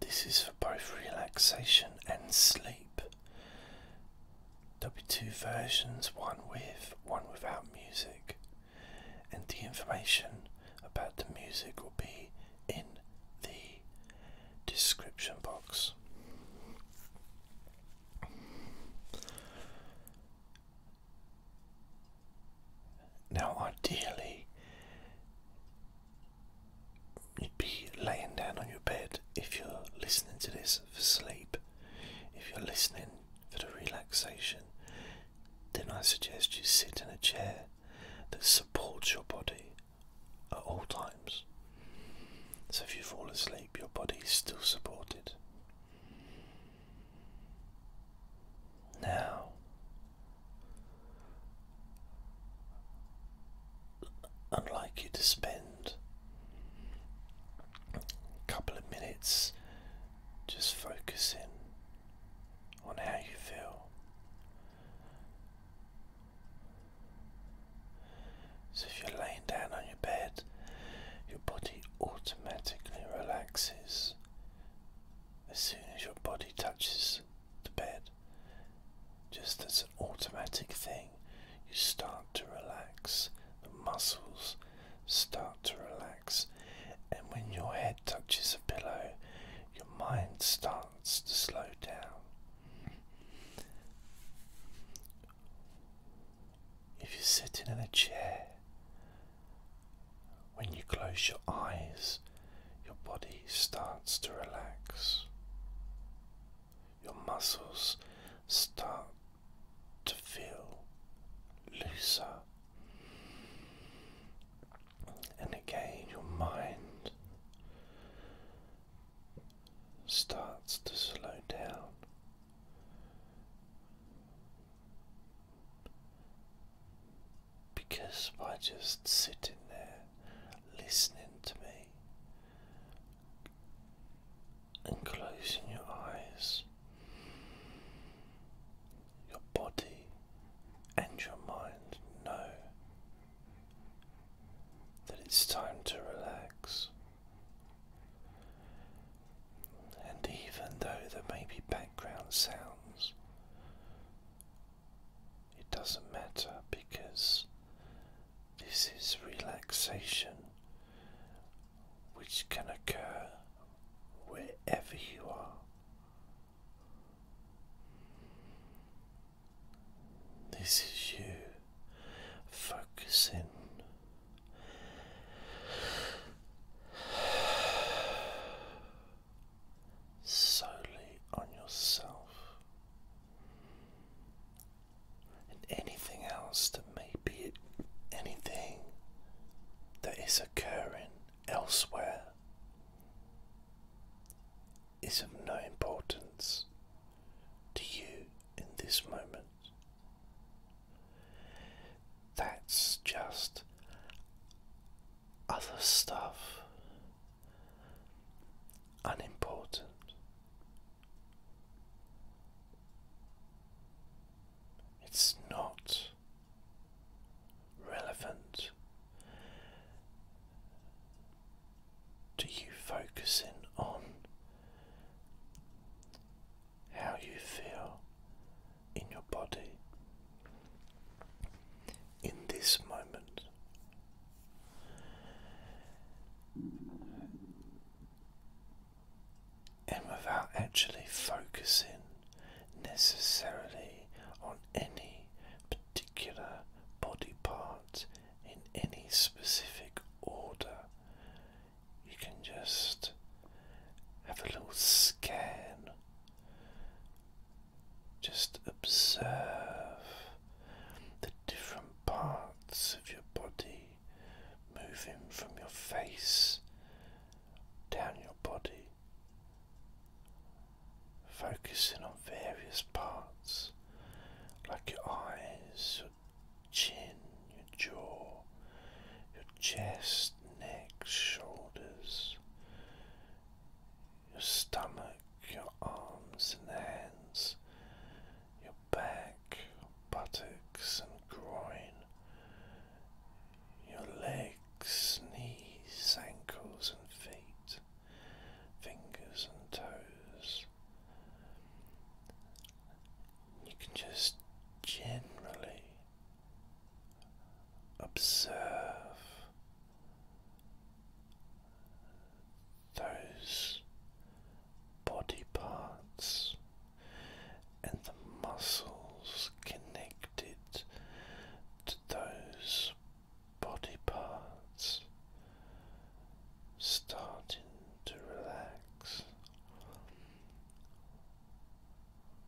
This is for both relaxation and sleep. There'll be two versions one with, one without music, and the information about the music will be in the description box. Now, ideally, be laying down on your bed if you're listening to this for sleep. If you're listening for the relaxation, then I suggest you sit in a chair that supports your body at all times. So if you fall asleep, your body is still supported. Now, I'd like you to spend a couple of minutes just focusing on how you feel. So, if you're laying down on your bed, your body automatically relaxes as soon as your body touches the bed, just as automatic thing. You start to relax, the muscles start to relax, and when your head touches a pillow, your mind starts to slow down. If you're sitting in a chair, when you close your eyes, your body starts to relax. Your muscles start to feel looser. And again, your mind starts to slow down. Because by just sitting there, listening to me and closing your eyes, your body and your mind know that it's time to relax. And even though there may be background sounds it doesn't matter because this is relaxation which can occur wherever you are. This is you focusing solely on yourself. And anything else that may be anything that is occurring elsewhere is of no importance to you in this moment. That's just other stuff unimportant. It's not relevant to you focusing on how you feel in your body in this moment. And without actually focusing necessarily on any particular body part in any specific order, you can just have a little scan just observe the different parts of your body moving from your face down your body, focusing on various parts like your eyes, your chin, your jaw, your chest, neck, shoulders your stomach, your arms and hands, your back, buttocks and groin, your legs, knees, ankles and feet, fingers and toes. You can just generally observe those body parts and the muscles connected to those body parts starting to relax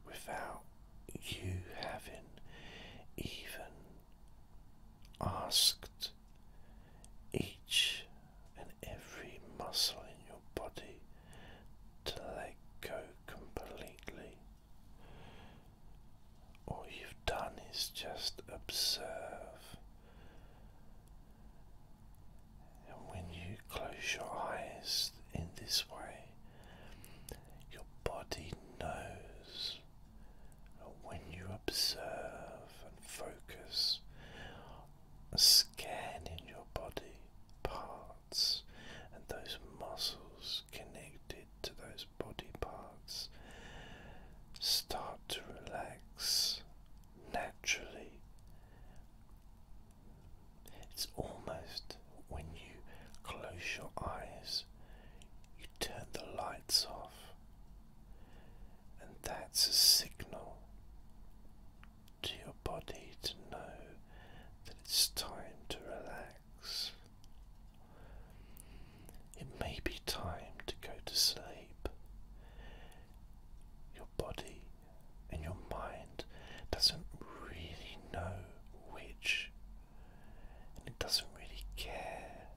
without you having even asked each and every muscle in your body to let go completely. All you've done is just observe. And when you close your eyes in this way, your body knows when you observe and focus, scanning your body parts and those muscles connected to those body parts start to relax naturally. It's almost when you close your eyes, turn the lights off. And that's a signal to your body to know that it's time to relax. It may be time to go to sleep. Your body and your mind doesn't really know which it doesn't really care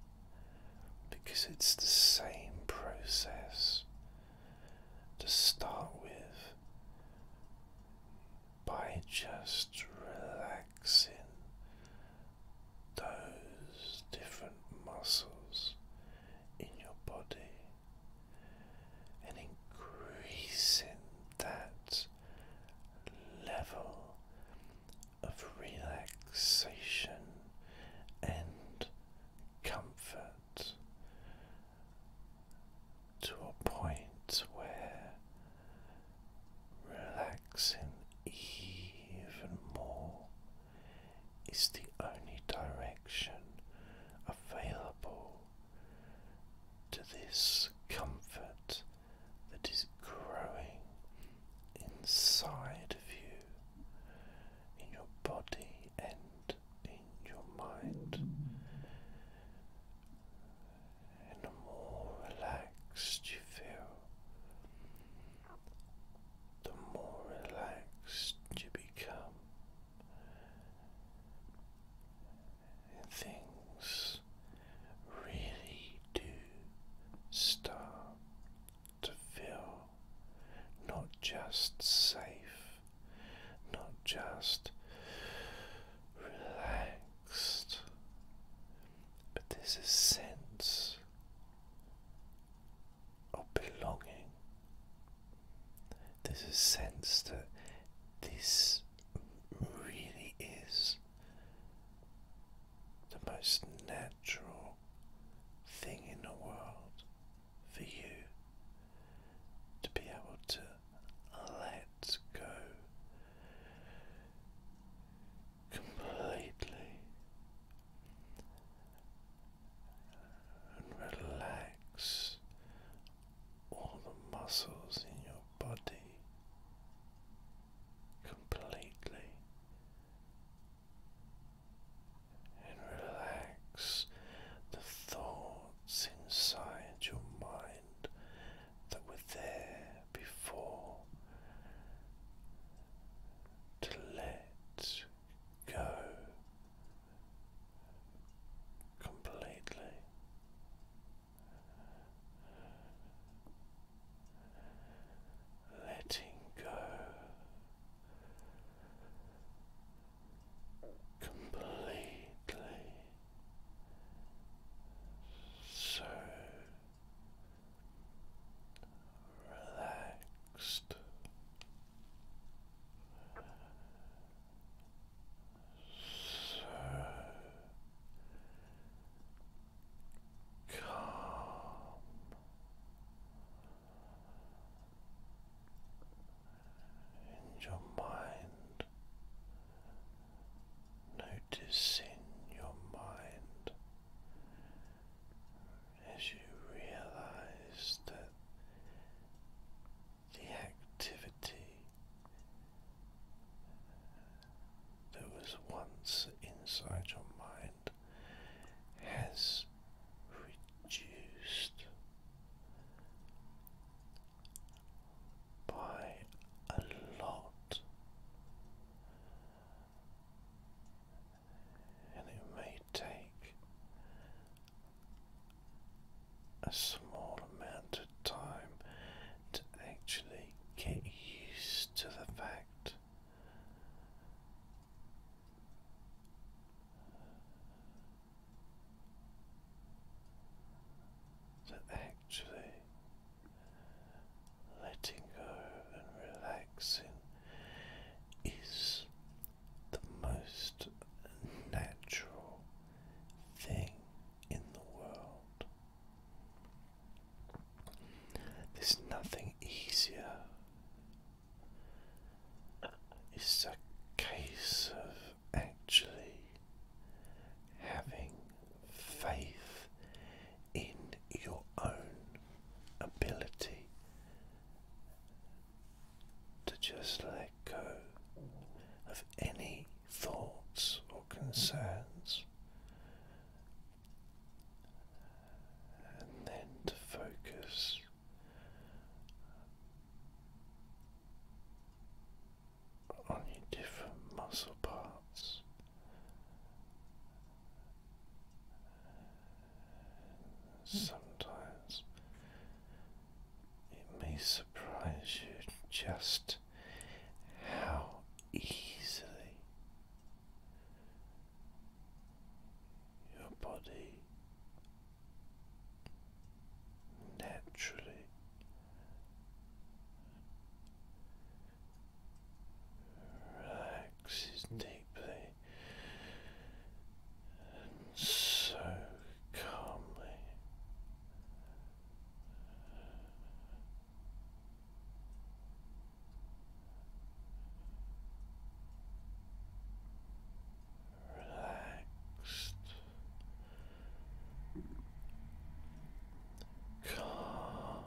because it's the same process to start with by just relaxing those different muscles in your body and increasing that level of relaxation and comfort to a point where relaxing even more is the only direction available to this comfort that is growing inside of you, in your body and in your mind, and the more relaxed you feel, the more relaxed you become things really do start to feel not just safe, not just relaxed, but there's a sense of belonging. There's a sense that this really is the most natural thing in the world for you to be able to let go completely and relax all the muscles in your body completely and relax the thoughts inside your mind that were there before to let go completely letting go completely so relaxed so calm in your mind, noticing your mind as you realize that the activity that was once inside your mind has reduced by a lot, and it may take a small amount amount time to actually get used to the fact that actually letting go and relaxing is the most natural thing in the world. There's nothing easier. It's a case of actually having faith in your own ability to just let go of any thoughts or concerns, and then to focus on your different muscle parts. Sometimes it may surprise you just how easily your body naturally relaxes deeply and so calmly Relaxed, calm,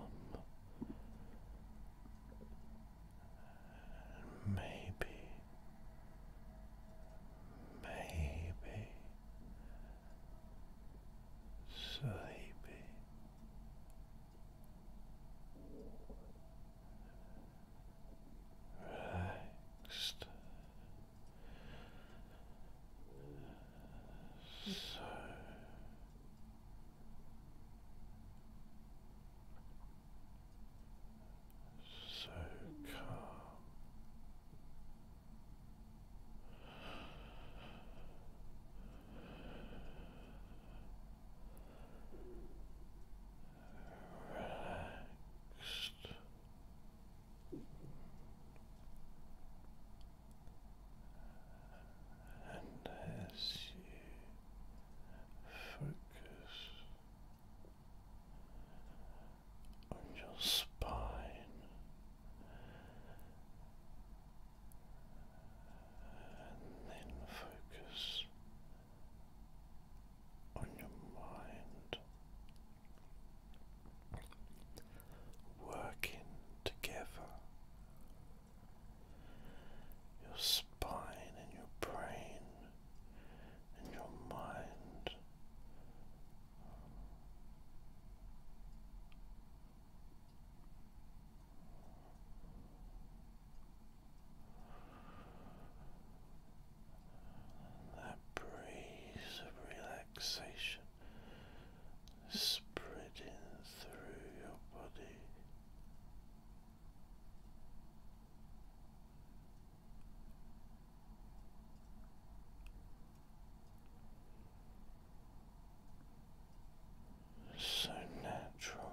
and maybe, maybe sleepy. Relaxed, so so calm. Relaxed. And as you focus of your spine. And then focus on your mind working together. Your spine and your brain and your mind that breeze of relaxation spreading through your body so natural.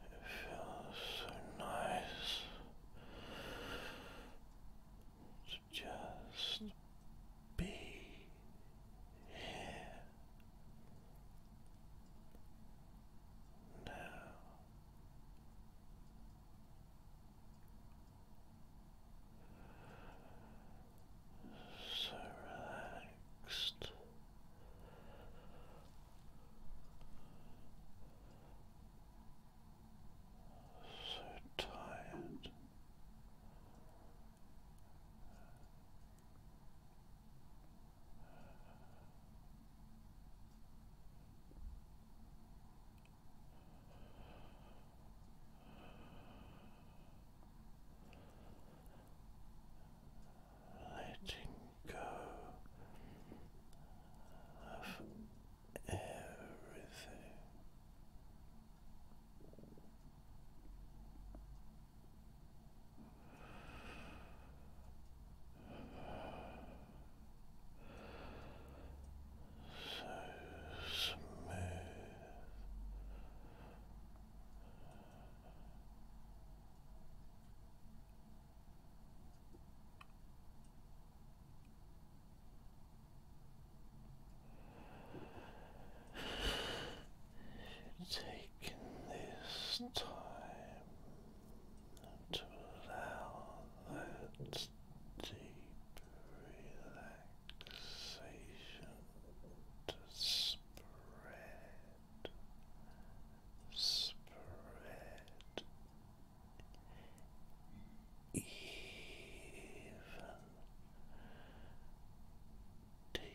It feels so nice to just be here now. So relaxed. So tired letting go of everything. So smooth, Taking this time to allow that deep relaxation to spread spread even deeper.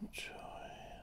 Enjoying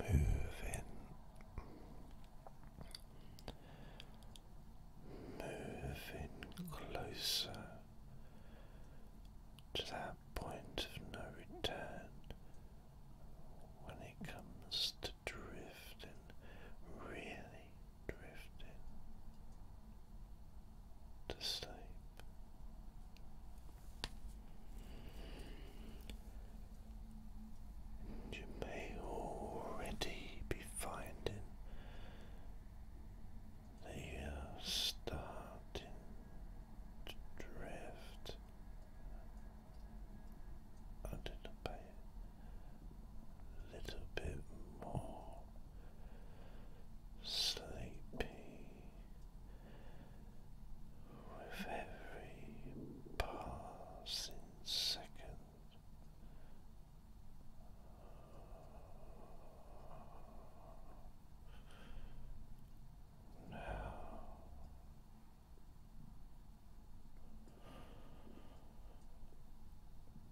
Moving moving closer to that point of no return when it comes to drifting really drifting to sleep. And you may already be finding that you are starting to drift under the bed little bit more sleepy with every passing second. Now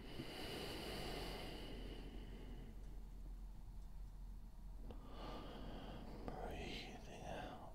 Breathing out. Breathing in. Breathing out.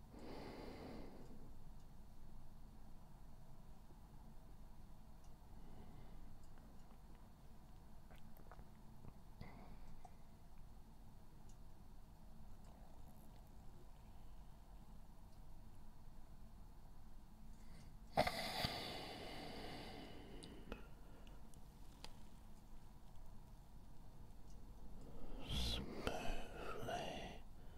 Smoothly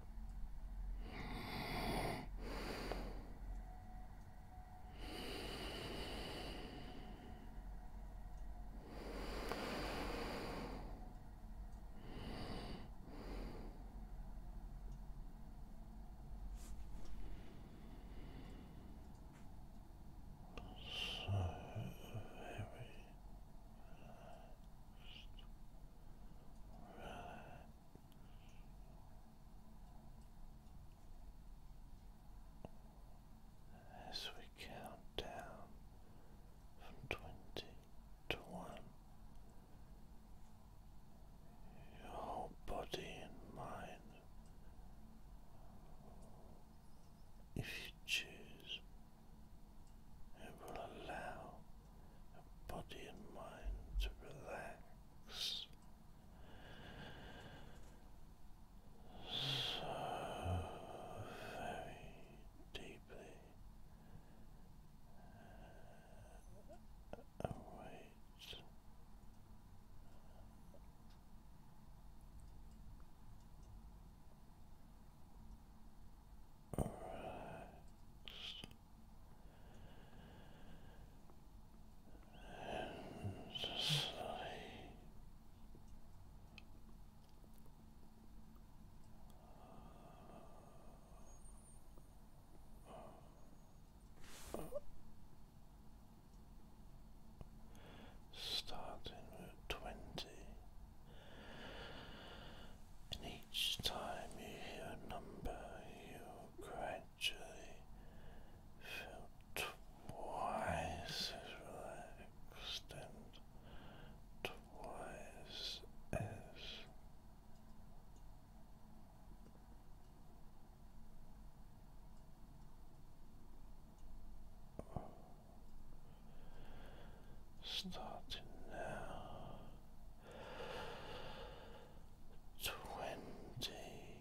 So heavy. Just relax as we count down from twenty to one, your whole body and mind, if you choose, it will allow body and mind to relax. So very deeply await relaxed and sleep. Starting with twenty, each time you hear a number, you gradually feel twice relaxed and twice as. Starting now, twenty nineteen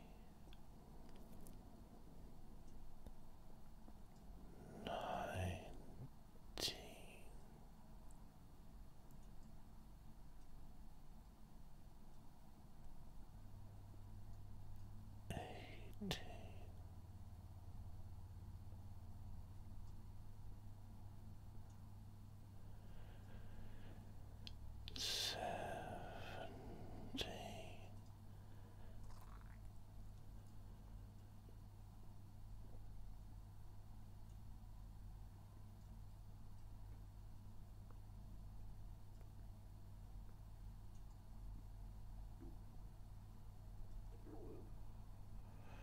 eighteen Seventy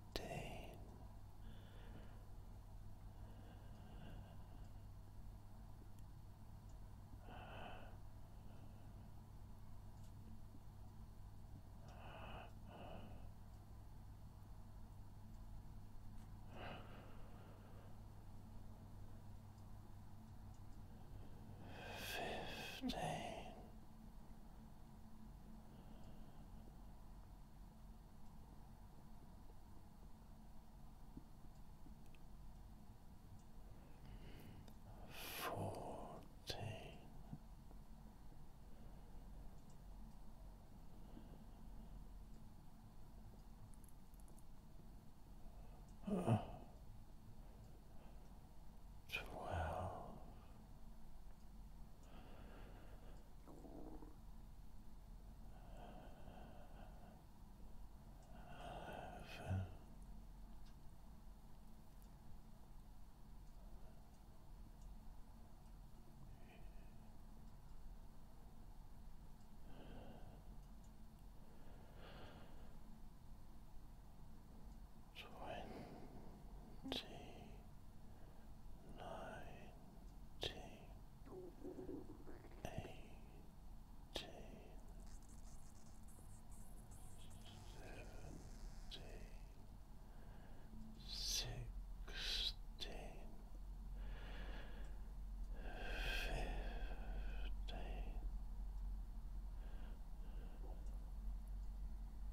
fifteen. Fifteen. Fourteen, uh, twelve, eleven. Ten, twenty nineteen eighteen seventeen sixteen fifteen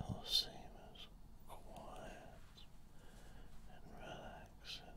It'll seem as quiet and relaxing.